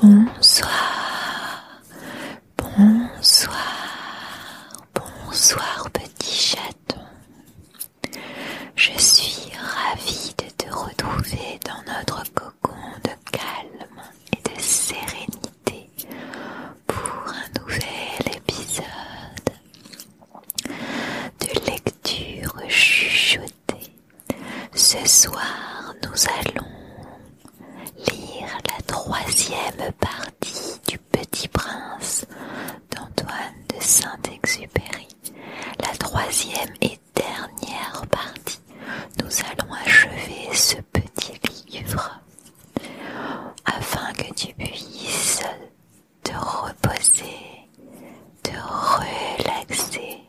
Bonsoir, bonsoir, bonsoir petit chaton. Je suis ravie de te retrouver dans notre cocon de calme et de sérénité pour un nouvel épisode de lecture chuchotée. Ce soir, nous allons lire la troisième partie du Petit Prince d'Antoine de Saint-Exupéry. La troisième et dernière partie. Nous allons achever ce petit livre afin que tu puisses ...de reposer, de relaxer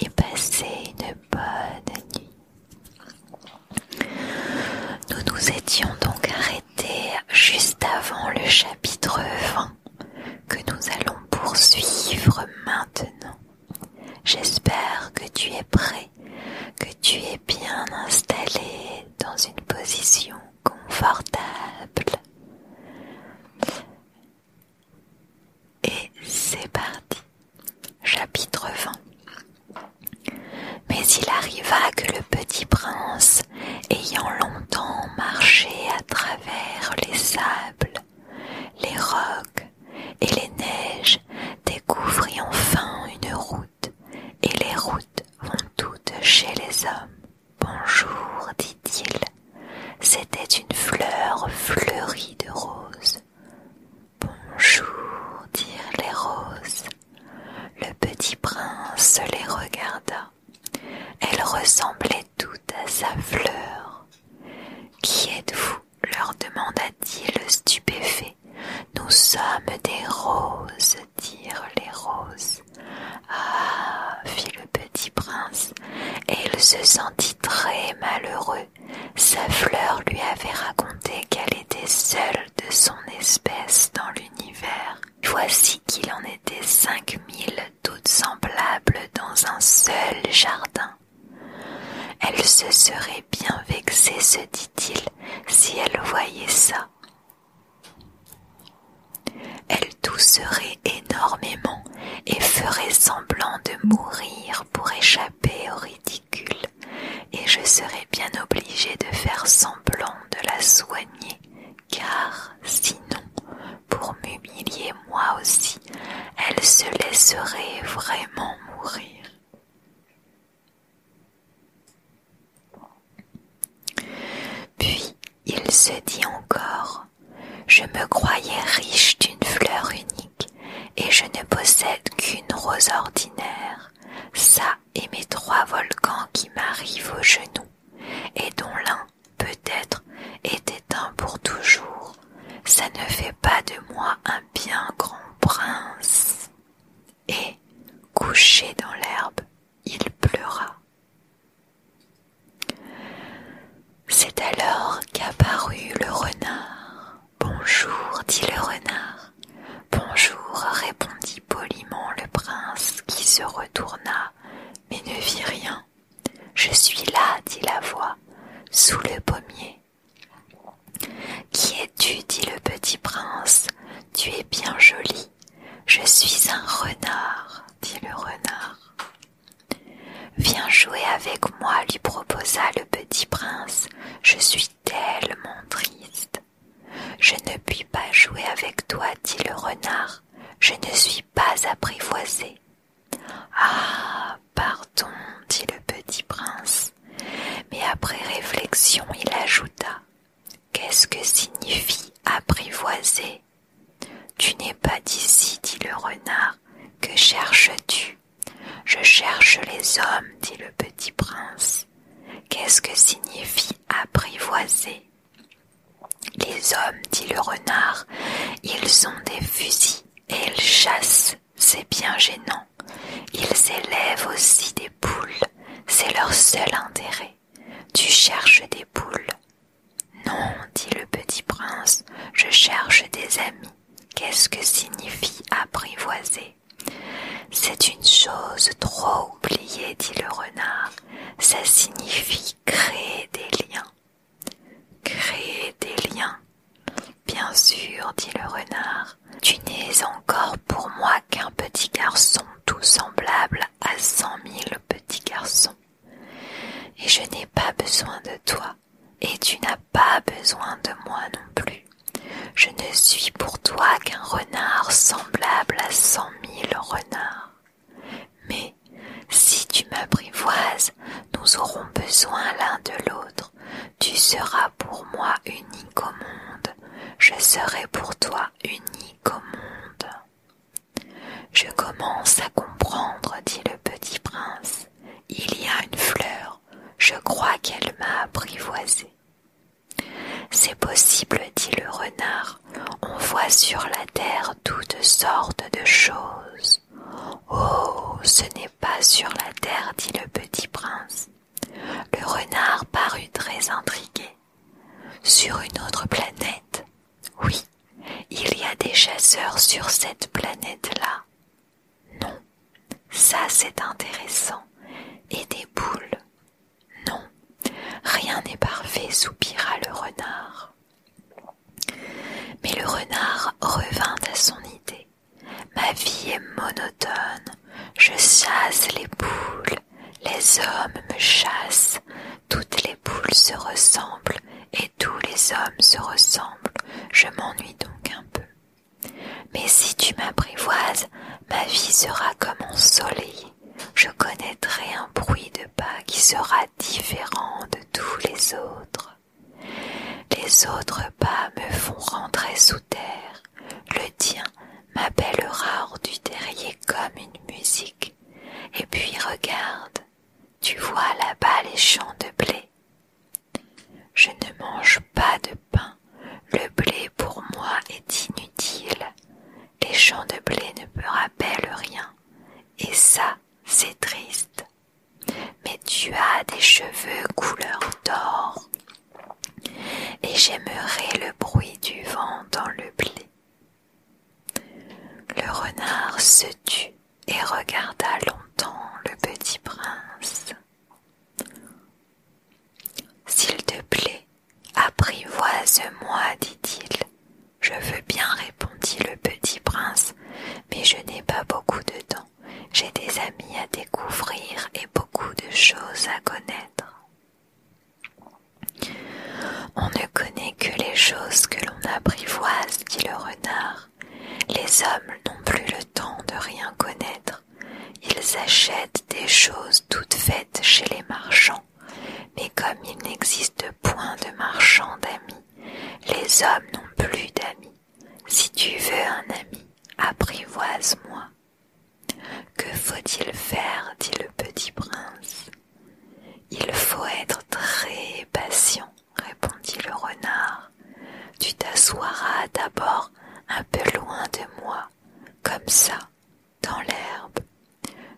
et passer une bonne nuit. Nous nous étions donc arrêtés juste avant le chapitre 20 que nous allons poursuivre maintenant. J'espère que tu es prêt, que tu es bien installé dans une position confortable. Et c'est parti. Chapitre 20. Mais il arriva que le petit prince, ayant longtemps marché à travers les sables, les rocs et les neiges, découvrit enfin une route et les routes vont toutes chez les hommes. Bonjour, dit-il. C'était une fleur fleurie de roses. Bonjour, dirent les roses. Le petit prince les regarda. Elles ressemblaient toutes à sa fleur. Qui êtes-vous leur demanda-t-il stupéfait. Nous sommes des roses, les roses. Ah fit le petit prince, et il se sentit très malheureux. Sa fleur lui avait raconté qu'elle était seule de son espèce dans l'univers. Voici qu'il en était cinq mille toutes semblables dans un seul jardin. Elle se serait bien vexée, se dit-il, si elle voyait ça. Elle tousserait énormément et ferait semblant de mourir pour échapper au ridicule, et je serais bien obligée de faire semblant de la soigner, car sinon, pour m'humilier moi aussi, elle se laisserait vraiment mourir. Puis il se dit encore Je me croyais riche d'une fleur unique, et je ne possède qu'une rose ordinaire, ça et mes trois volcans qui m'arrivent aux genoux, et dont l'un, peut-être, est éteint pour toujours. Ça ne fait pas de moi un bien grand prince. Et, couché dans l'herbe, il pleura. C'est alors qu'apparut le renard. Bonjour, dit le renard. Bonjour, répondit poliment le prince, qui se retourna, mais ne vit rien. Je suis là, dit la voix, sous le pommier. Qui es-tu dit le petit prince. Tu es bien joli, je suis un renard, dit le renard. Viens jouer avec moi, lui proposa le petit prince. Je suis tellement triste. Je ne puis pas jouer avec toi, dit le renard. Je ne suis pas apprivoisé. Ah, pardon, dit le petit prince. Mais après réflexion, il ajouta. Qu'est-ce que signifie apprivoiser Tu n'es pas d'ici, dit le renard. Que cherches-tu Je cherche les hommes, dit le petit prince. Qu'est-ce que signifie apprivoiser Les hommes, dit le renard, ils ont des fusils et ils chassent, c'est bien gênant. Ils élèvent aussi des poules, c'est leur seul intérêt. Tu cherches des poules. Non, dit le petit prince, je cherche des amis. Qu'est-ce que signifie apprivoiser C'est une chose trop oubliée, dit le renard. Ça signifie créer des liens. Créer des liens. Bien sûr, dit le renard, tu n'es encore pour moi qu'un petit garçon tout semblable à cent mille petits garçons. Et je n'ai pas besoin de toi, et tu n'as pas besoin de moi non plus. Je ne suis pour toi qu'un renard semblable à cent mille renards. Mais si tu m'apprivoises, nous aurons besoin l'un de l'autre. Tu seras pour moi unique au monde, je serai pour toi unique je commence à comprendre, dit le petit prince. Il y a une fleur, je crois qu'elle m'a apprivoisé. C'est possible, dit le renard, on voit sur la terre toutes sortes de choses. Oh, ce n'est pas sur la terre, dit le petit prince. Le renard parut très intrigué. Sur une autre planète Oui. Il y a des chasseurs sur cette planète-là. Non. Ça c'est intéressant. Et des boules. Non. Rien n'est parfait, soupira le renard. Mais le renard revint à son idée. Ma vie est monotone, je chasse les poules, les hommes me chassent, toutes les poules se ressemblent et tous les hommes se ressemblent, je m'ennuie donc un peu. Mais si tu m'apprivoises, ma vie sera comme soleil. je connaîtrai un bruit de pas qui sera différent de tous les autres. Les autres pas me font rentrer sous le tien m'appellera hors du terrier comme une musique. Et puis regarde, tu vois là-bas les champs de blé. Je ne mange pas de pain, le blé pour moi est inutile. Les champs de blé ne me rappellent rien, et ça, c'est triste. Mais tu as des cheveux couleur d'or, et j'aimerais le bruit du vent dans le blé. Le renard se tut et regarda longtemps le petit prince. S'il te plaît, apprivoise-moi, dit-il. Je veux bien, répondit le petit prince, mais je n'ai pas beaucoup de temps. J'ai des amis à découvrir et beaucoup de choses à connaître. On ne connaît que les choses que l'on apprivoise, dit le renard. Les hommes n'ont plus le temps de rien connaître. Ils achètent des choses toutes faites chez les marchands, mais comme il n'existe point de marchands d'amis, les hommes n'ont plus d'amis. Si tu veux un ami, apprivoise-moi. Que faut-il faire dit le petit prince. Il faut être très patient, répondit le renard. Tu t'assoiras d'abord un peu loin de moi, comme ça, dans l'herbe.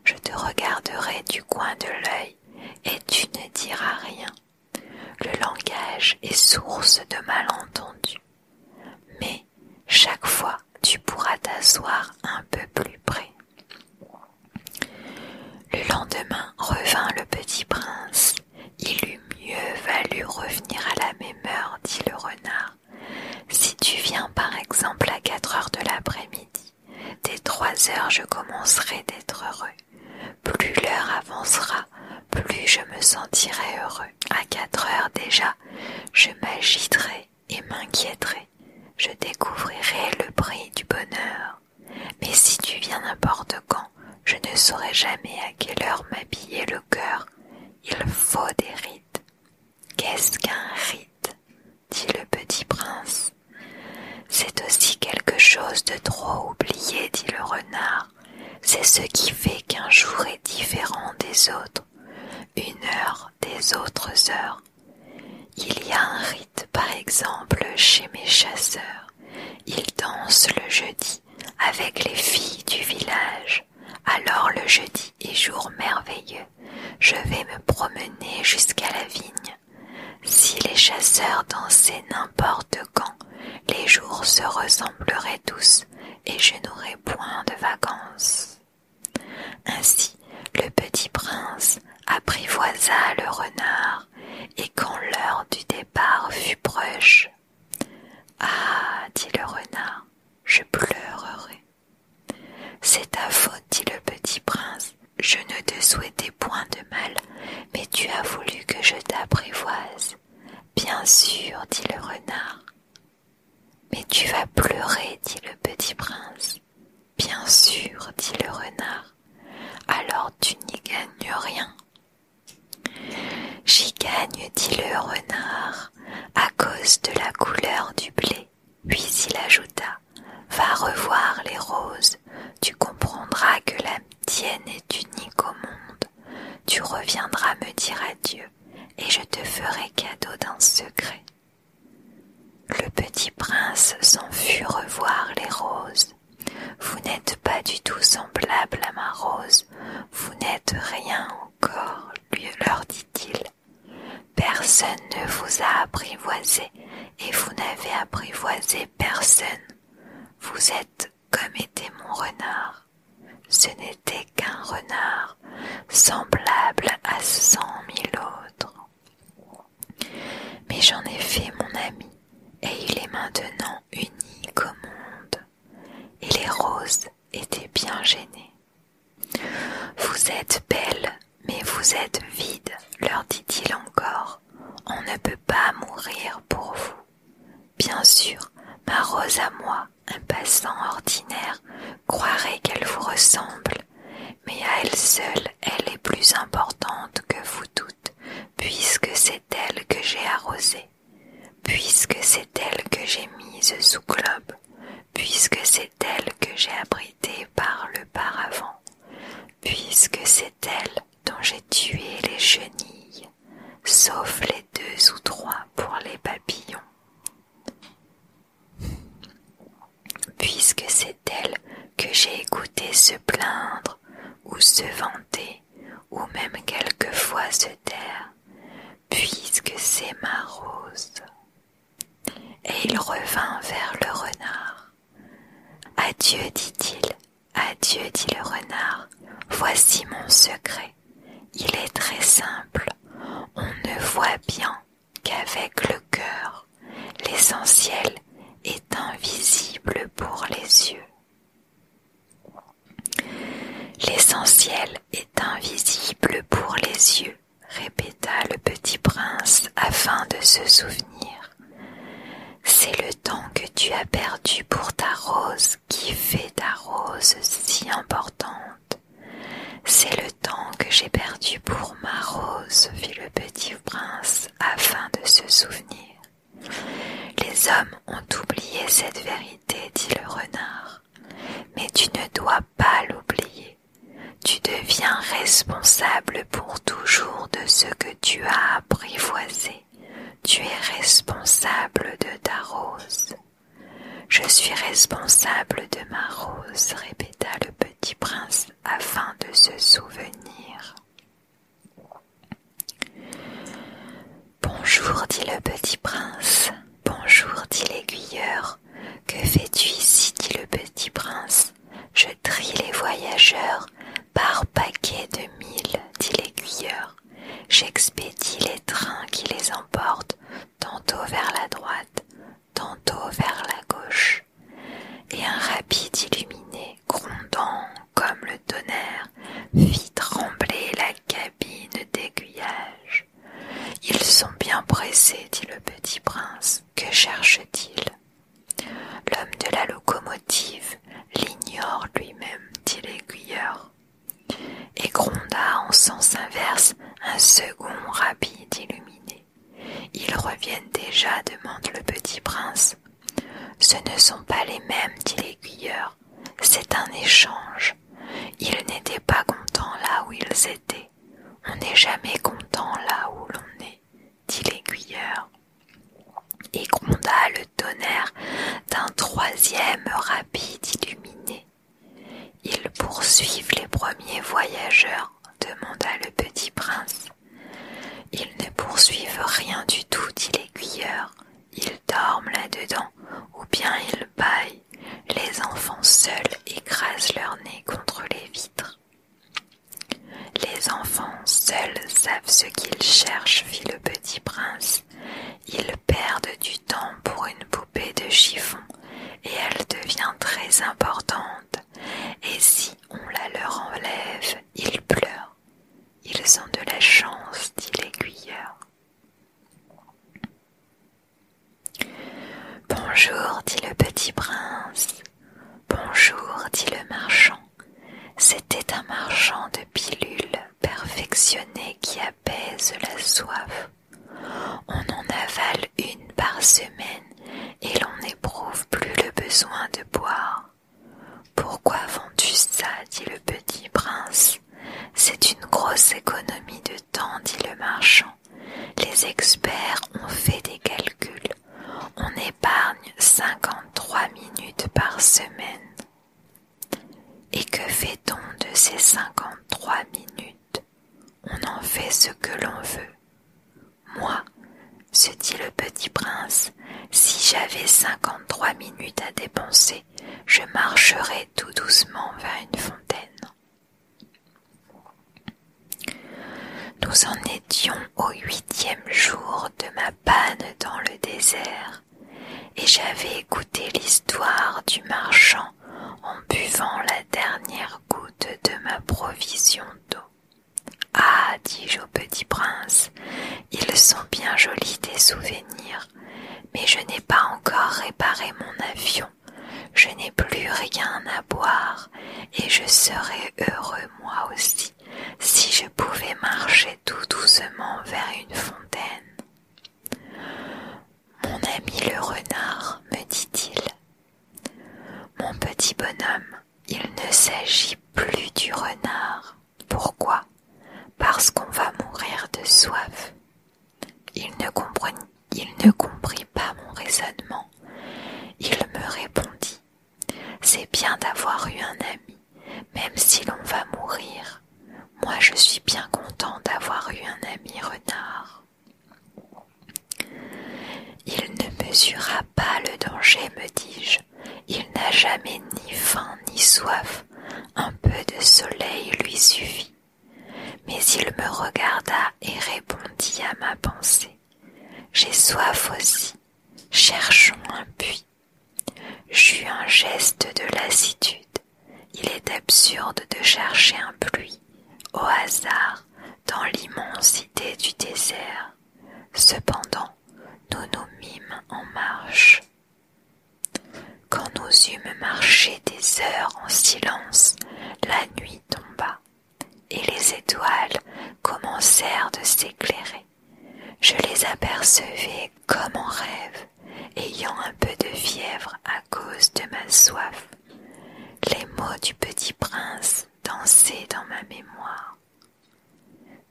Je te regarderai du coin de l'œil et tu ne diras rien. Le langage est source de malentendus. Mais chaque fois tu pourras t'asseoir un peu plus près. Le lendemain revint le petit prince. Il eût mieux valu revenir à la même heure, dit le renard. Si tu viens par exemple à quatre heures de l'après-midi, dès trois heures je commencerai d'être heureux. Plus l'heure avancera, plus je me sentirai heureux. À quatre heures déjà, je m'agiterai et m'inquiéterai, je découvrirai le prix du bonheur. Mais si tu viens n'importe quand, je ne saurais jamais à quelle heure m'habiller le cœur. Il faut des rites. Qu'est-ce qu'un rite dit le petit prince. C'est aussi quelque chose de trop oublié, dit le renard. C'est ce qui fait qu'un jour est différent des autres une heure des autres heures. Il y a un rite, par exemple, chez mes chasseurs. Ils dansent le jeudi avec les filles du village. Alors le jeudi est jour merveilleux. Je vais me promener jusqu'à la vigne. Si les chasseurs dansaient n'importe quand, les jours se ressembleraient tous et je n'aurais point de vacances. Ainsi le petit prince apprivoisa le renard, et quand l'heure du départ fut proche, Ah, dit le renard, je pleurerai. C'est ta faute, dit le petit prince. Je ne te souhaitais point de mal, mais tu as voulu que je t'apprivoise. Bien sûr, dit le renard. Mais tu vas pleurer, dit le petit prince. Bien sûr, dit le renard, alors tu n'y gagnes rien. J'y gagne, dit le renard, à cause de la couleur du blé. Puis il ajouta, va revoir les roses, tu comprendras que la tienne est unique au monde. Tu reviendras me dire adieu et je te ferai cadeau d'un secret. Le petit prince s'en fut revoir les roses. Vous n'êtes pas du tout semblable à ma rose, vous n'êtes rien encore, lui leur dit-il. Personne ne vous a apprivoisé et vous n'avez apprivoisé personne. Vous êtes comme était mon renard. Ce n'était qu'un renard, semblable à cent mille autres. Mais j'en ai fait mon ami, et il est maintenant unique au monde. Et les roses étaient bien gênées. Vous êtes belles, mais vous êtes vide, leur dit-il encore. On ne peut pas mourir pour vous. Bien sûr, ma rose à moi un passant ordinaire croirait qu'elle vous ressemble, mais à elle seule, elle est plus importante que vous toutes, puisque c'est elle que j'ai arrosée, puisque c'est elle que j'ai mise sous globe, puisque c'est elle que j'ai abritée par le paravent, puisque c'est elle dont j'ai tué les chenilles, sauf les deux ou trois pour les papillons. Puisque c'est elle que j'ai écouté se plaindre ou se vanter ou même quelquefois se taire, puisque c'est ma rose. Et il revint vers le renard. Adieu, dit-il, adieu, dit le renard, voici mon secret. Il est très simple, on ne voit bien qu'avec le cœur, l'essentiel est invisible pour les yeux. L'essentiel est invisible pour les yeux, répéta le petit prince afin de se souvenir. C'est le temps que tu as perdu pour ta rose qui fait ta rose si importante C'est le temps que j'ai perdu pour ma rose, fit le petit prince afin de se souvenir. Les hommes ont oublié cette vérité, dit le renard, mais tu ne dois pas l'oublier. Tu deviens responsable pour toujours de ce que tu as apprivoisé. Tu es responsable de ta rose. Je suis responsable de ma rose, répéta le petit prince afin de se souvenir. Bonjour, dit le petit prince. Bonjour, dit l'aiguilleur. Que fais-tu ici dit le petit prince. Je trie les voyageurs par paquets de mille, dit l'aiguilleur j'expédie les trains qui les emportent tantôt vers la droite, tantôt vers la gauche, et un rapide illuminé, grondant comme le tonnerre, fit trembler la cabine d'aiguillage. Ils sont bien pressés, dit le petit prince. Que cherchent-ils L'homme de la locomotive l'ignore lui-même, dit l'aiguilleur et gronda en sens inverse un second rapide illuminé. Ils reviennent déjà, demande le petit prince. Ce ne sont pas les mêmes, dit l'aiguilleur. C'est un échange. Ils n'étaient pas contents là où ils étaient. On n'est jamais content là où l'on est, dit l'aiguilleur. Et gronda le tonnerre d'un troisième rapide illuminé. Ils poursuivent les premiers voyageurs, demanda le petit prince. Ils ne poursuivent rien du tout, dit l'aiguilleur. Ils dorment là-dedans, ou bien ils bâillent. Les enfants seuls écrasent leur nez contre les vitres. Les enfants seuls savent ce qu'ils cherchent, fit le petit prince. Ils perdent du temps pour une poupée de chiffon et elle devient très importante. Et si on la leur enlève, ils pleurent. Ils ont de la chance, dit l'aiguilleur. Bonjour, dit le petit prince. Bonjour, dit le marchand. C'était un marchand de pilules Perfectionné qui apaise la soif. On en avale une par semaine et l'on n'éprouve plus le besoin de boire. Pourquoi vends-tu ça dit le petit prince. C'est une grosse économie de temps, dit le marchand. Les experts ont fait des calculs. On épargne cinquante trois minutes par semaine. Et que fait-on de ces cinquante-trois minutes On en fait ce que l'on veut. Moi, se dit le petit prince, si j'avais cinquante-trois minutes à dépenser, je marcherais tout doucement vers une fontaine. Nous en étions au huitième jour de ma panne dans le désert et j'avais écouté l'histoire du marchand en buvant la dernière goutte de ma provision d'eau. Ah, dis-je au petit prince, ils sont bien jolis tes souvenirs, mais je n'ai pas encore réparé mon avion, je n'ai plus rien à boire, et je serais heureux moi aussi si je pouvais marcher tout doucement vers une fontaine. Mon ami le renard, me dit-il, mon petit bonhomme, il ne s'agit plus du renard. Pourquoi Parce qu'on va mourir de soif. Il ne, comprit, il ne comprit pas mon raisonnement. Il me répondit, c'est bien d'avoir eu un ami, même si l'on va mourir. Moi je suis bien content d'avoir eu un ami renard. Il ne mesura pas le danger, me dis-je. Il n'a jamais ni faim ni soif. Un peu de soleil lui suffit. Mais il me regarda et répondit à ma pensée. J'ai soif aussi. Cherchons un puits. J'eus un geste de lassitude. Il est absurde de chercher un pluie, au hasard, dans l'immensité du désert. Cependant, nous nous mîmes en marche. Quand nous eûmes marché des heures en silence, la nuit tomba, et les étoiles commencèrent de s'éclairer. Je les apercevais comme en rêve ayant un peu de fièvre à cause de ma soif, les mots du petit prince dansaient dans ma mémoire.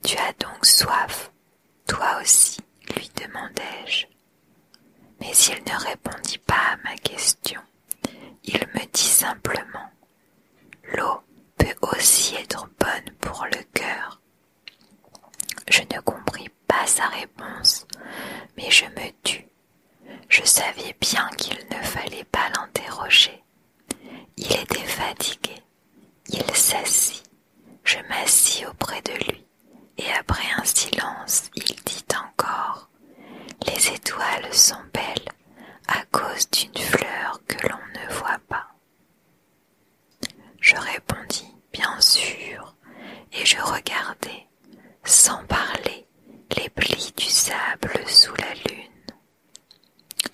Tu as donc soif, toi aussi, lui demandai-je. Mais il ne répondit pas à ma question. Il me dit simplement L'eau peut aussi être bonne pour le cœur je ne compris pas sa réponse, mais je me tus. Je savais bien qu'il ne fallait pas l'interroger. Il était fatigué. Il s'assit. Je m'assis auprès de lui, et après un silence, il dit encore Les étoiles sont belles à cause d'une fleur que l'on ne voit pas. Je répondis bien sûr, et je regardai, sans parler, les plis du sable sous la lune.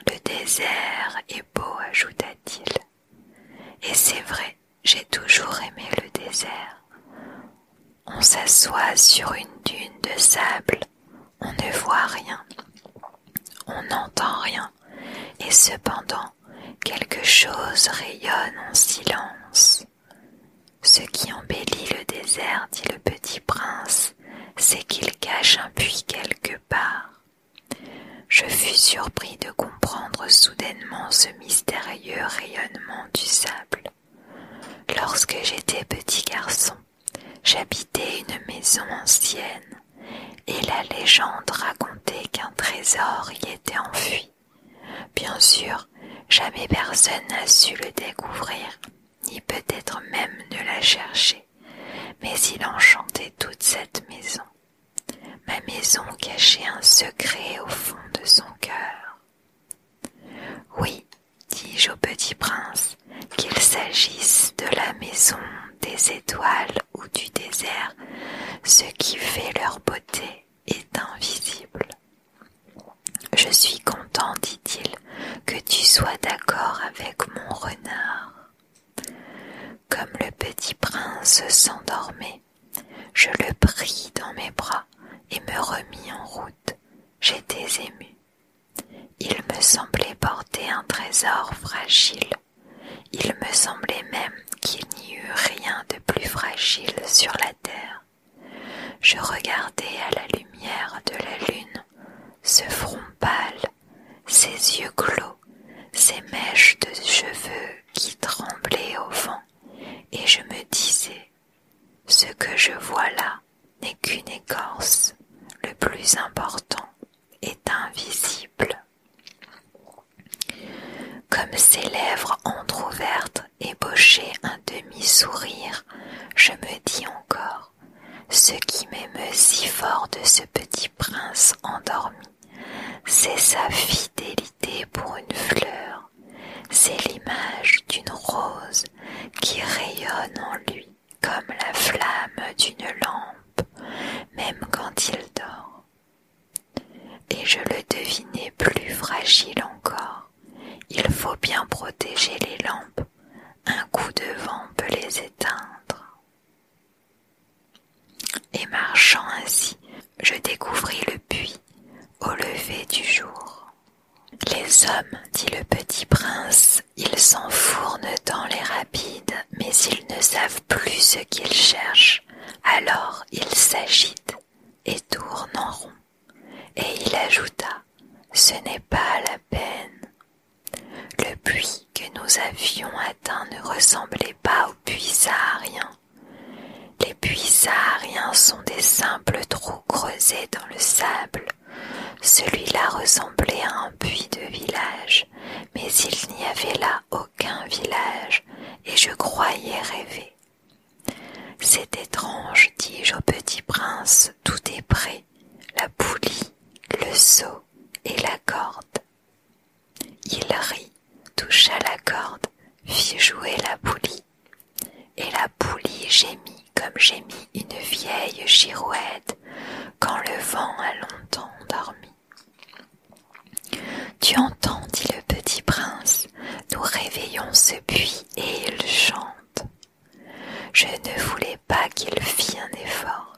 Le désert est beau, ajouta-t-il. Et c'est vrai, j'ai toujours aimé le désert. On s'assoit sur une dune de sable, on ne voit rien, on n'entend rien, et cependant quelque chose rayonne en silence. Ce qui embellit le désert, dit le petit prince, c'est qu'il cache un puits quelque part. Je fus surpris de comprendre soudainement ce mystérieux rayonnement du sable. Lorsque j'étais petit garçon, j'habitais une maison ancienne, et la légende racontait qu'un trésor y était enfui. Bien sûr, jamais personne n'a su le découvrir, ni peut-être même ne l'a chercher, mais il enchantait toute cette maison. Ma maison cachait un secret au fond de son cœur. Oui, dis-je au petit prince, qu'il s'agisse de la maison des étoiles ou du désert, ce qui fait leur beauté est invisible. Je suis content, dit-il, que tu sois d'accord avec mon renard. Comme le petit prince s'endormait, je le pris dans mes bras et me remis en route. J'étais ému. Il me semblait porter un trésor fragile il me semblait même qu'il n'y eût rien de plus fragile sur la terre. Je regardais à la lumière de la lune ce front pâle, ces yeux clos, ces mèches de cheveux qui tremblaient au vent, et je me disais ce que je vois là n'est qu'une écorce, le plus important est invisible. Comme ses lèvres entr'ouvertes ébauchaient un demi-sourire, je me dis encore ce qui m'émeut si fort de ce petit prince endormi, c'est sa fidélité pour une fleur, c'est l'image d'une rose qui rayonne en lui comme la flamme d'une lampe, même quand il dort. Et je le devinais plus fragile encore. Il faut bien protéger les lampes. Un coup de vent peut les éteindre. Et marchant ainsi, je découvris le puits au lever du jour. Les hommes, dit le petit prince, ils s'enfournent dans les rapides, mais ils ne savent plus ce qu'ils cherchent. Alors il s'agite et tourne en rond, et il ajouta Ce n'est pas la peine. Le puits que nous avions atteint ne ressemblait pas au puits saharien. Les puits sahariens sont des simples trous creusés dans le sable. Celui-là ressemblait à un puits de village, mais il n'y avait là aucun village, et je croyais rêver. C'est étrange, dis-je au petit prince, tout est prêt, la poulie, le seau et la corde. Il rit, toucha la corde, fit jouer la poulie, et la poulie gémit comme gémit une vieille girouette quand le vent a longtemps dormi. Tu entends, dit le petit prince, nous réveillons ce puits et il chante. Je ne voulais pas qu'il fît un effort.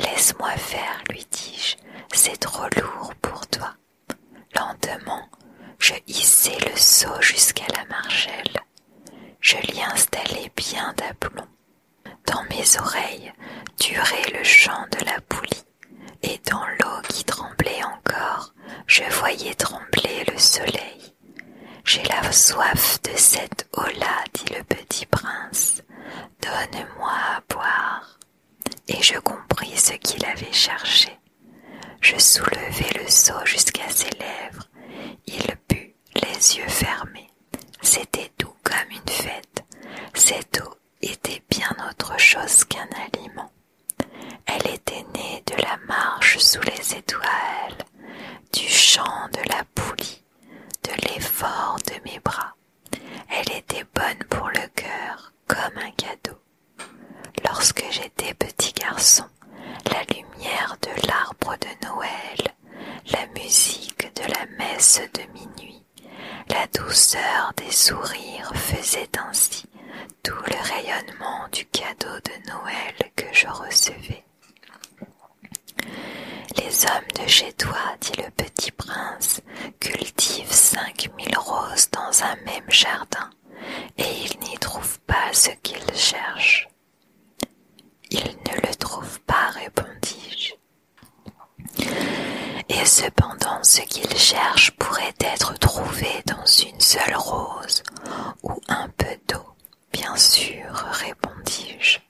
Laisse-moi faire, lui dis-je, c'est trop lourd pour toi. Lentement, je hissai le seau jusqu'à la margelle. Je l'y installai bien d'aplomb. Dans mes oreilles durait le chant de la poulie et dans l'eau qui tremblait encore, je voyais trembler le soleil. J'ai la soif de cette eau-là, dit le petit prince. Donne-moi à boire. Et je compris ce qu'il avait cherché. Je soulevai le seau jusqu'à ses lèvres. Il but, les yeux fermés. C'était doux comme une fête. Cette eau était bien autre chose qu'un aliment. Elle était née de la marche sous les étoiles, du chant de la poulie, de l'effort de mes bras. Elle était bonne pour le cœur, comme un cadeau. Lorsque j'étais petit garçon, la lumière de l'arbre de Noël, la musique de la messe de minuit, la douceur des sourires faisait ainsi tout le rayonnement du cadeau de Noël que je recevais. Les hommes de chez toi, dit le petit prince, cultivent cinq mille roses dans un même jardin, et ils n'y trouvent pas ce qu'ils cherchent. Ils ne le trouvent pas, répondis-je. Et cependant ce qu'il cherche pourrait être trouvé dans une seule rose ou un peu d'eau, bien sûr, répondis-je.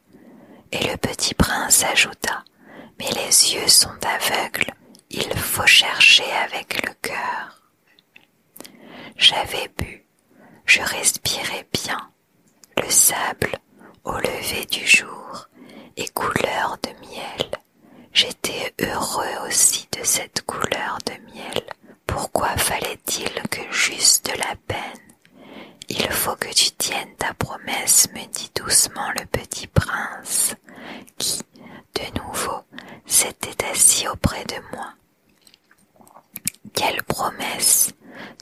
Et le petit prince ajouta, Mais les yeux sont aveugles, il faut chercher avec le cœur. J'avais bu, je respirais bien, le sable au lever du jour et couleur de miel. J'étais heureux aussi de cette couleur de miel. Pourquoi fallait-il que juste de la peine Il faut que tu tiennes ta promesse, me dit doucement le petit prince, qui, de nouveau, s'était assis auprès de moi. Quelle promesse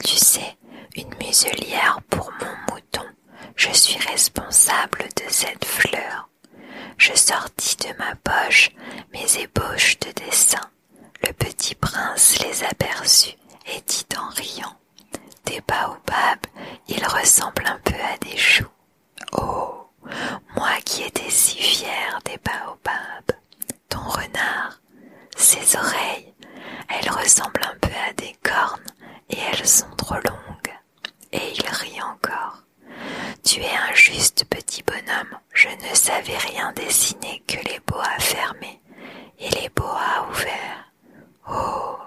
Tu sais, une muselière pour mon je suis responsable de cette fleur. Je sortis de ma poche mes ébauches de dessin. Le petit prince les aperçut et dit en riant Des baobabs, ils ressemblent un peu à des choux. Oh, moi qui étais si fier, des baobabs, ton renard, ses oreilles, elles ressemblent un peu à des cornes et elles sont trop longues. Et il rit encore. Tu es un juste petit bonhomme. Je ne savais rien dessiner que les boas fermés et les boas ouverts. Oh.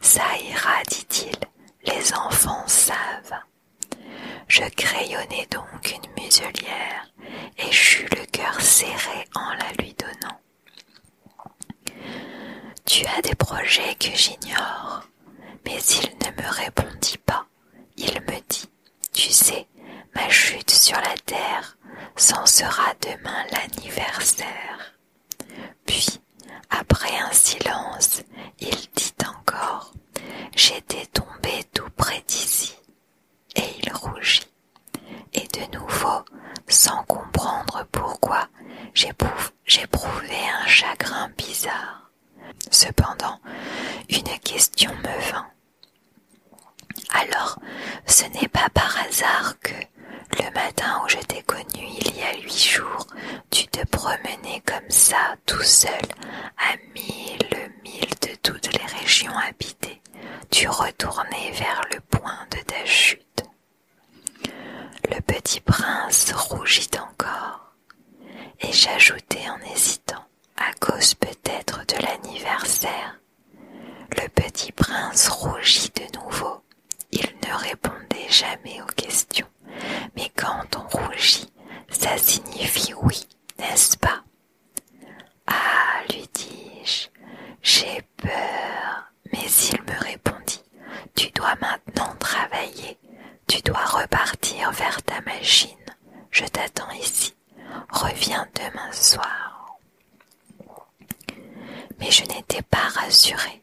Ça ira, dit il, les enfants savent. Je crayonnai donc une muselière, et j'eus le cœur serré en la lui donnant. Tu as des projets que j'ignore. Mais il ne me répondit pas. Il me dit, tu sais, ma chute sur la terre C'en sera demain l'anniversaire. Puis, après un silence, il dit encore, j'étais tombé tout près d'ici. Et il rougit. Et de nouveau, sans comprendre pourquoi j'éprouvais un chagrin bizarre. Cependant, une question me vint. Alors, ce n'est pas par hasard que, le matin où je t'ai connu il y a huit jours, tu te promenais comme ça, tout seul, à mille mille de toutes les régions habitées. Tu retournais vers le point de ta chute. Le petit prince rougit encore, et j'ajoutai en hésitant, à cause peut-être de l'anniversaire. Le petit prince rougit de nouveau. Il ne répondait jamais aux questions, mais quand on rougit, ça signifie oui, n'est-ce pas Ah, lui dis-je, j'ai peur mais il me répondit Tu dois maintenant travailler, tu dois repartir vers ta machine, je t'attends ici, reviens demain soir. Mais je n'étais pas rassurée,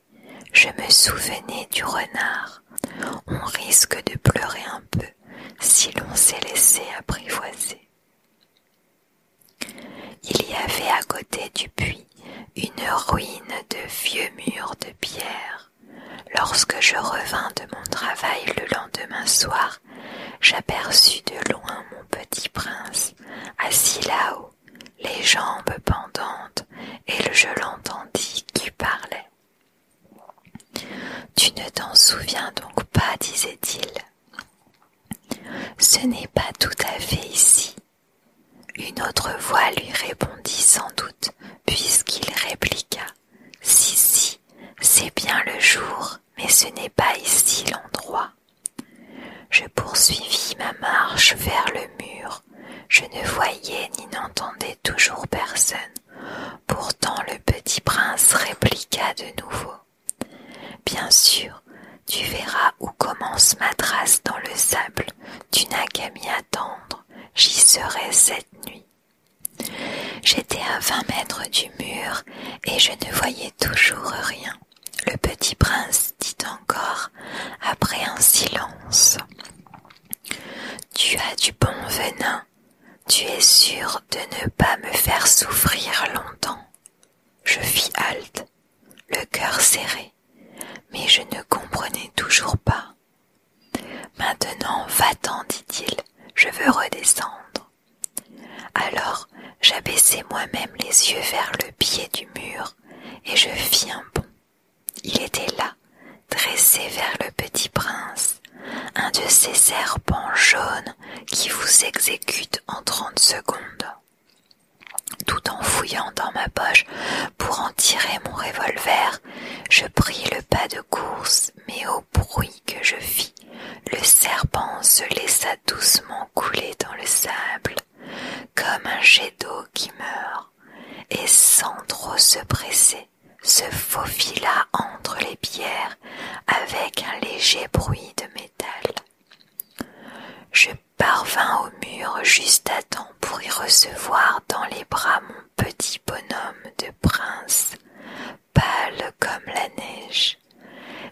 je me souvenais du renard. On risque de pleurer un peu si l'on s'est laissé apprivoiser. Il y avait à côté du puits une ruine de vieux murs de pierre. Lorsque je revins de mon travail le lendemain soir, j'aperçus de loin mon petit prince, assis là-haut, les jambes pendantes, et je l'entendis qui parlait. Tu ne t'en souviens donc pas, disait-il. Ce n'est pas tout à fait ici une autre voix lui répondit sans doute, puisqu'il répliqua Si, si, c'est bien le jour, mais ce n'est pas ici l'endroit. Je poursuivis ma marche vers le mur. Je ne voyais ni n'entendais toujours personne. Pourtant le petit prince répliqua de nouveau. Bien sûr, tu verras où commence ma trace dans le sable, tu n'as qu'à m'y attendre, j'y serai cette nuit. J'étais à vingt mètres du mur, et je ne voyais toujours rien. Le petit prince dit encore, après un silence. Tu as du bon venin, tu es sûr de ne pas me faire souffrir longtemps. Je fis halte, le cœur serré, mais je ne comprenais toujours pas. Maintenant, va-t'en, dit-il, je veux redescendre. Alors, j'abaissai moi-même les yeux vers le pied du mur et je fis un bond. Il était là, dressé vers le petit prince, un de ces serpents jaunes qui vous exécutent en trente secondes. Tout en fouillant dans ma poche pour en tirer mon revolver, je pris le pas de course, mais au bruit que je fis, le serpent se laissa doucement couler dans le sable, comme un jet d'eau qui meurt, et sans trop se presser, se faufila entre les pierres avec un léger bruit de métal. Je parvins au mur juste à temps pour y recevoir dans les bras mon petit bonhomme de prince, pâle comme la neige.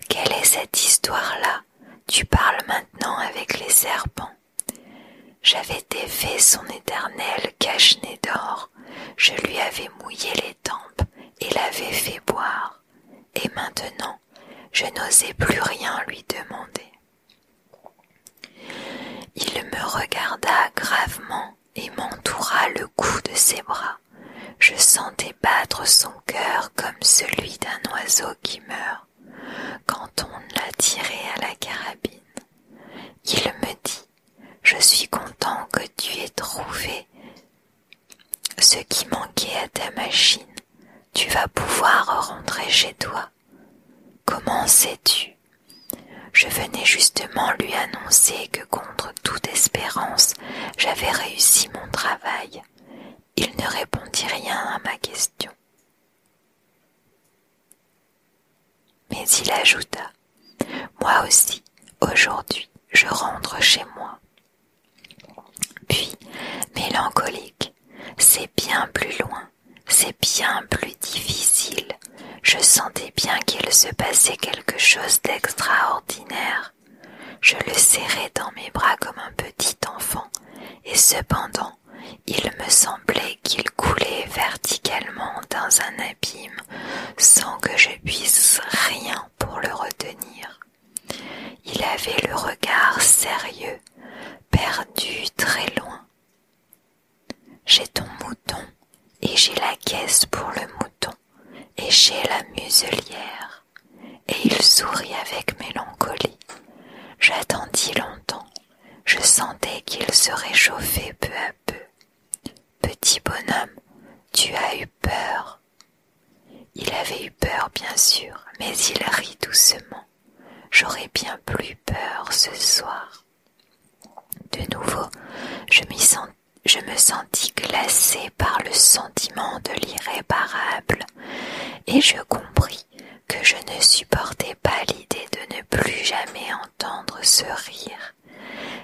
Quelle est cette histoire-là Tu parles maintenant avec les serpents. J'avais défait son éternel cache-nez d'or, je lui avais mouillé les tempes et l'avais fait boire et maintenant je n'osais plus rien lui demander. Il me regarda gravement et m'entoura le cou de ses bras. Je sentais battre son cœur comme celui d'un oiseau qui meurt quand on l'a tiré à la carabine. Il me dit Je suis content que tu aies trouvé ce qui manquait à ta machine. Tu vas pouvoir rentrer chez toi. Comment sais-tu Je venais justement lui annoncer que contre toute espérance, j'avais réussi mon travail. Il ne répondit rien à ma question. Mais il ajouta, Moi aussi, aujourd'hui, je rentre chez moi. Puis, mélancolique, c'est bien plus loin, c'est bien plus difficile. Je sentais bien qu'il se passait quelque chose d'extraordinaire. Je le serrais dans mes bras comme un petit enfant, et cependant, il me semblait qu'il coulait verticalement dans un abîme sans que je puisse rien pour le retenir. Il avait le regard sérieux, perdu très loin. J'ai ton mouton, et j'ai la caisse pour le mouton, et j'ai la muselière. Et il sourit avec mélancolie. J'attendis longtemps, je sentais qu'il se réchauffait peu à peu. Petit bonhomme, tu as eu peur, il avait eu peur, bien sûr, mais il rit doucement. J'aurais bien plus peur ce soir. De nouveau, je, me sentis glacée par le sentiment de l'irréparable, et je compris que je ne supportais pas l'idée de ne plus jamais entendre ce rire.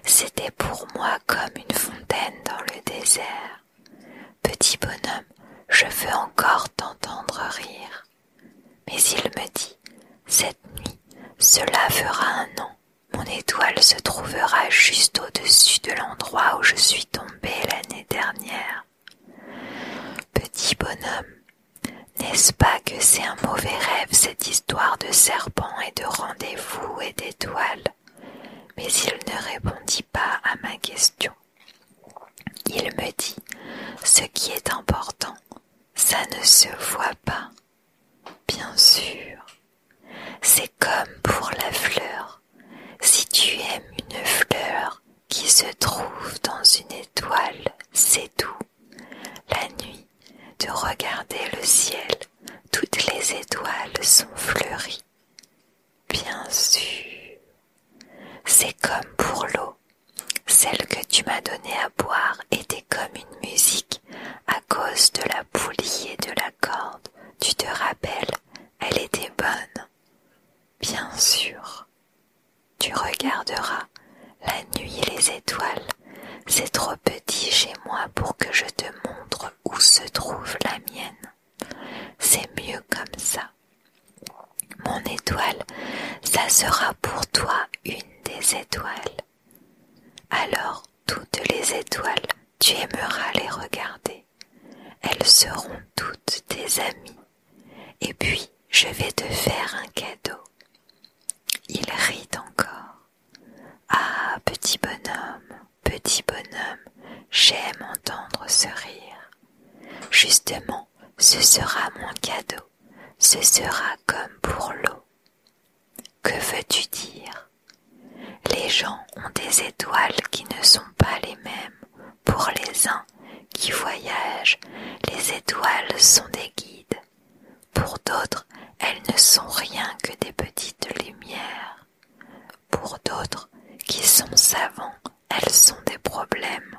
C'était pour moi comme une fontaine dans le désert. Petit bonhomme, je veux encore t'entendre rire. Mais il me dit, cette nuit, cela fera un an. Mon étoile se trouvera juste au-dessus de l'endroit où je suis tombée l'année dernière. Petit bonhomme, n'est-ce pas que c'est un mauvais rêve cette histoire de serpent et de rendez-vous et d'étoiles Mais il ne répondit pas à ma question. Il me dit, ce qui est important, ça ne se voit pas. Bien sûr, c'est comme pour la fleur. Si tu aimes une fleur qui se trouve dans une étoile, c'est tout, La nuit, de regarder le ciel, toutes les étoiles sont fleuries. Bien sûr. C'est comme pour l'eau. Celle que tu m'as donnée à boire était comme une musique à cause de la poulie et de la corde. Tu te rappelles, elle était bonne. Bien sûr. Tu regarderas la nuit et les étoiles. C'est trop petit chez moi pour que je te montre où se trouve la mienne. C'est mieux comme ça. Mon étoile, ça sera pour toi une des étoiles. Alors toutes les étoiles, tu aimeras les regarder. Elles seront toutes tes amies. Et puis, je vais te faire un cadeau. Il rit encore. Ah, petit bonhomme, petit bonhomme, j'aime entendre ce rire. Justement, ce sera mon cadeau, ce sera comme pour l'eau. Que veux-tu dire Les gens ont des étoiles qui ne sont pas les mêmes. Pour les uns qui voyagent, les étoiles sont des guides. Pour d'autres, elles ne sont rien que des petites lumières. Pour d'autres, qui sont savants, elles sont des problèmes.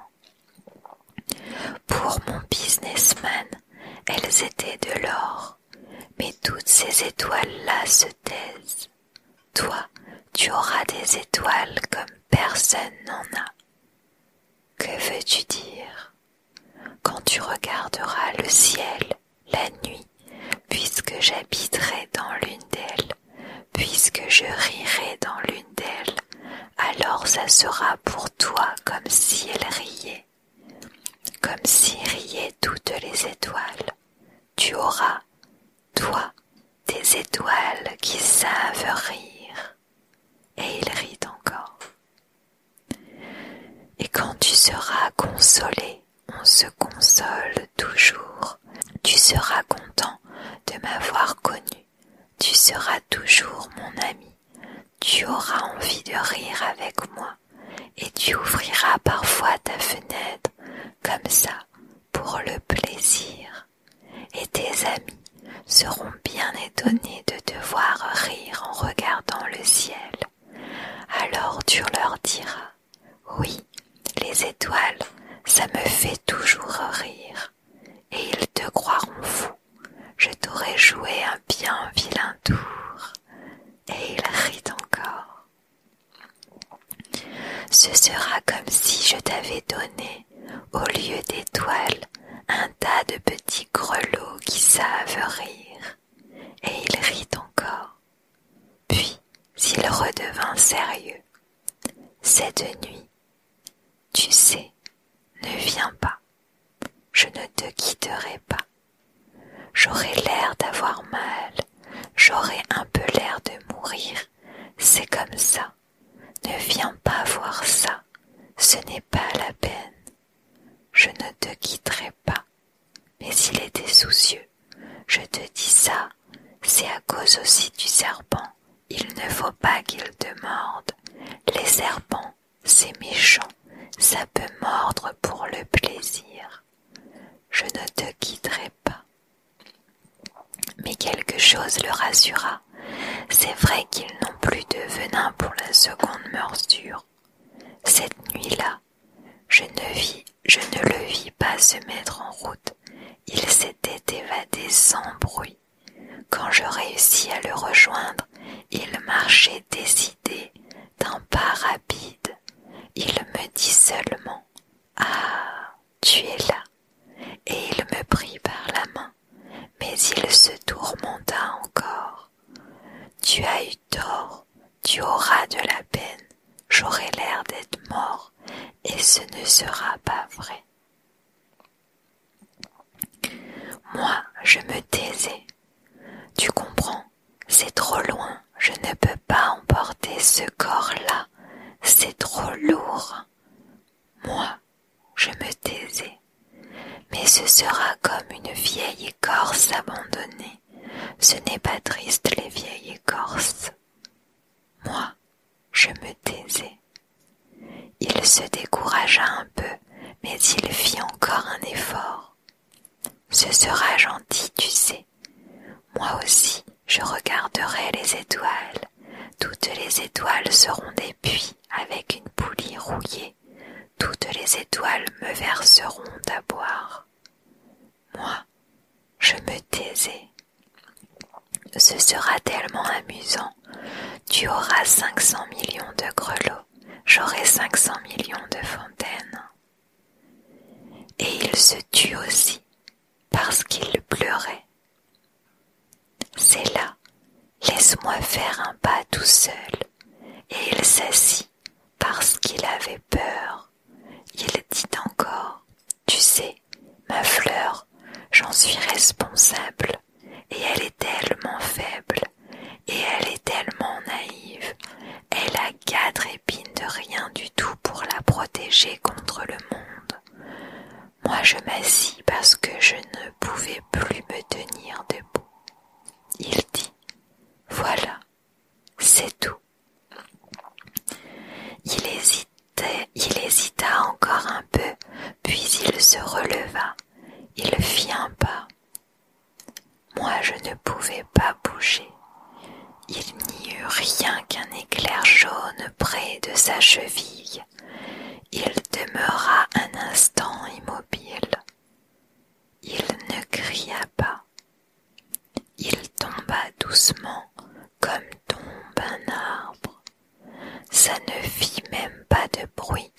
Pour mon businessman, elles étaient de l'or, mais toutes ces étoiles-là se taisent. Toi, tu auras des étoiles comme personne n'en a. Que veux-tu dire Quand tu regarderas le ciel la nuit, puisque j'habiterai dans l'une d'elles, Puisque je rirai dans l'une d'elles, alors ça sera pour toi comme si elle riait, comme si riaient toutes les étoiles. Tu auras, toi, des étoiles qui savent rire. Et il rit encore. Et quand tu seras consolé on se console toujours. Tu seras content de m'avoir connu. Tu seras toujours mon ami. Tu auras envie de rire avec moi et tu ouvriras parfois ta fenêtre comme ça pour le plaisir. Et tes amis seront bien étonnés de te voir rire en regardant le ciel. Alors tu leur diras oui, les étoiles, ça me fait toujours rire. Et ils te croiront fou. Je t'aurais joué un bien vilain tour. Et il rit encore. Ce sera comme si je t'avais donné, au lieu d'étoiles, un tas de petits grelots qui savent rire. Et il rit encore. Puis s'il redevint sérieux. Cette nuit, tu sais, ne viens pas, je ne te quitterai pas. J'aurai l'air d'avoir mal, j'aurai un peu l'air de mourir, c'est comme ça. Ne viens pas voir ça, ce n'est pas la peine. Je ne te quitterai pas. Mais il était soucieux, je te dis ça, c'est à cause aussi du serpent. Il ne faut pas qu'il te morde. Les serpents, c'est méchant, ça peut mordre pour le plaisir. Je ne te quitterai pas. Mais quelque chose le rassura. C'est vrai qu'ils n'ont plus de venin pour la seconde morsure. Cette nuit-là, je ne vis, je ne le vis pas se mettre en route, il s'était évadé sans bruit. Quand je réussis à le rejoindre, il marchait décidé, d'un pas rapide. Il me dit seulement Ah, tu es là. Et il me prit par la main, mais il se tourmenta encore. Tu as eu tort, tu auras de la peine j'aurai l'air d'être mort, et ce ne sera pas vrai. Moi, je me taisais. Tu comprends, c'est trop loin, je ne peux pas emporter ce corps-là, c'est trop lourd. Moi, je me taisais. Mais ce sera comme une vieille écorce abandonnée. Ce n'est pas triste les vieilles écorces. Moi, je me taisais. Il se découragea un peu, mais il fit encore un effort. Ce sera gentil, tu sais. Moi aussi, je regarderai les étoiles. Toutes les étoiles seront des puits avec une poulie rouillée. Toutes les étoiles me verseront à boire. Moi, je me taisais. Ce sera tellement amusant. Tu auras 500 millions de grelots, j'aurai 500 millions de fontaines. Et il se tut aussi, parce qu'il pleurait. C'est là, laisse-moi faire un pas tout seul. Et il s'assit, parce qu'il avait peur. Il dit encore Tu sais, ma fleur, j'en suis responsable, et elle est tellement faible, et elle est tellement naïve, elle a quatre épines de rien du tout pour la protéger contre le monde. Moi je m'assis parce que je ne pouvais plus me tenir debout. Il dit Voilà, c'est tout. Il il hésita encore un peu, puis il se releva. Il fit un pas. Moi, je ne pouvais pas bouger. Il n'y eut rien qu'un éclair jaune près de sa cheville. Il demeura un instant immobile. Il ne cria pas. Il tomba doucement comme tombe un arbre. Ça ne fit même pas de bruit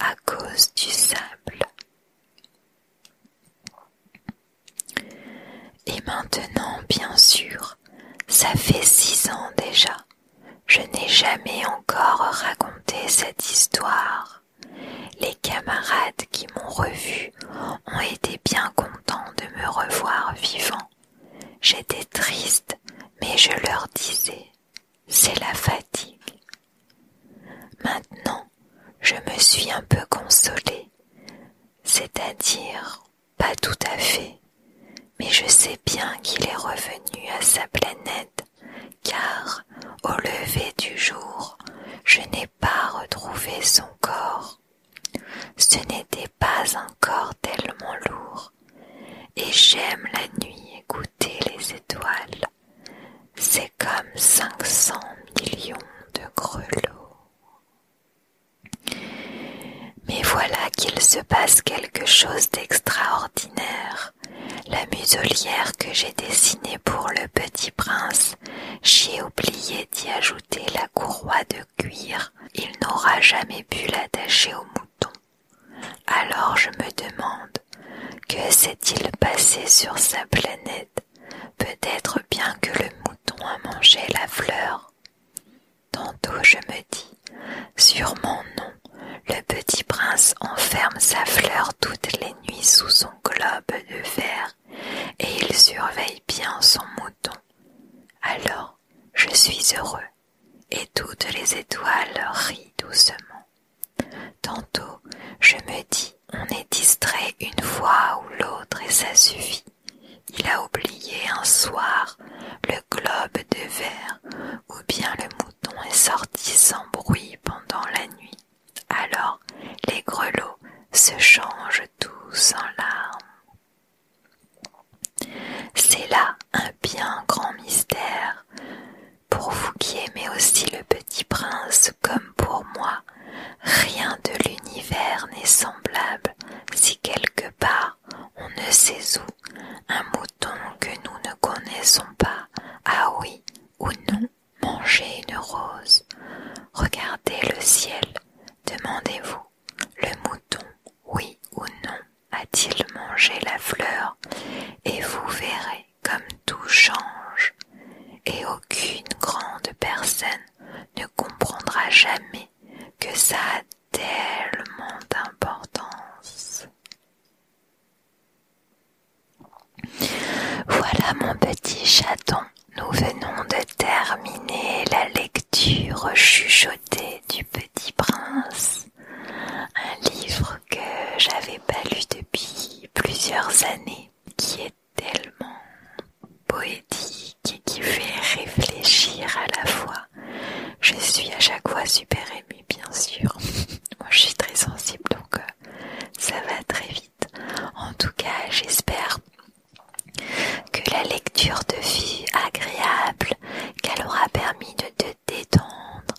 à cause du sable. Et maintenant, bien sûr, ça fait six ans déjà. Je n'ai jamais encore raconté cette histoire. Les camarades qui m'ont revu ont été bien contents de me revoir vivant. J'étais triste, mais je leur disais, c'est la fatigue. Maintenant, je me suis un peu consolée, c'est-à-dire pas tout à fait, mais je sais bien qu'il est revenu à sa planète, car au lever du jour, je n'ai pas retrouvé son corps. Ce n'était pas encore tellement lourd, et j'aime la nuit écouter les étoiles. C'est comme cinq cents millions de grelots. Mais voilà qu'il se passe quelque chose d'extraordinaire. La muselière que j'ai dessinée pour le petit prince, j'y oublié ajouter la courroie de cuir, il n'aura jamais pu l'attacher au mouton. Alors je me demande, que s'est-il passé sur sa planète Peut-être bien que le mouton a mangé la fleur. Tantôt je me dis, sûrement non, le petit prince enferme sa fleur toutes les nuits sous son globe de verre et il surveille bien son mouton. Alors je suis heureux, et toutes les étoiles rient doucement. Tantôt je me dis on est distrait une fois ou l'autre et ça suffit. Il a oublié un soir le globe de verre ou bien le mouton est sorti sans bruit pendant la nuit. Alors les grelots se changent tous en larmes. C'est là un bien grand mystère, pour vous qui aimez aussi le petit prince comme pour moi, rien de l'univers n'est semblable si quelque part, on ne sait où, un mouton que nous ne connaissons pas, Ah oui ou non mangé une rose. Regardez le ciel Demandez-vous, le mouton, oui ou non, a-t-il mangé la fleur Et vous verrez comme tout change, et aucune grande personne ne comprendra jamais que ça a tellement d'importance. Voilà mon petit chaton, nous venons de terminer la lecture chuchotée du Petit Prince, un livre que j'avais pas lu depuis plusieurs années, qui est tellement poétique et qui fait réfléchir à la fois. Je suis à chaque fois super émue, bien sûr. Moi, je suis très sensible, donc euh, ça va très vite. En tout cas, j'espère que la lecture te fût agréable qu'elle aura permis de te détendre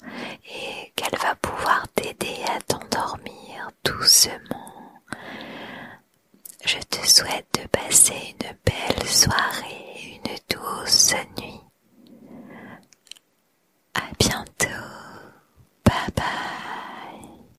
et qu'elle va pouvoir t'aider à t'endormir doucement. Je te souhaite de passer une belle soirée, une douce nuit. À bientôt. Bye bye.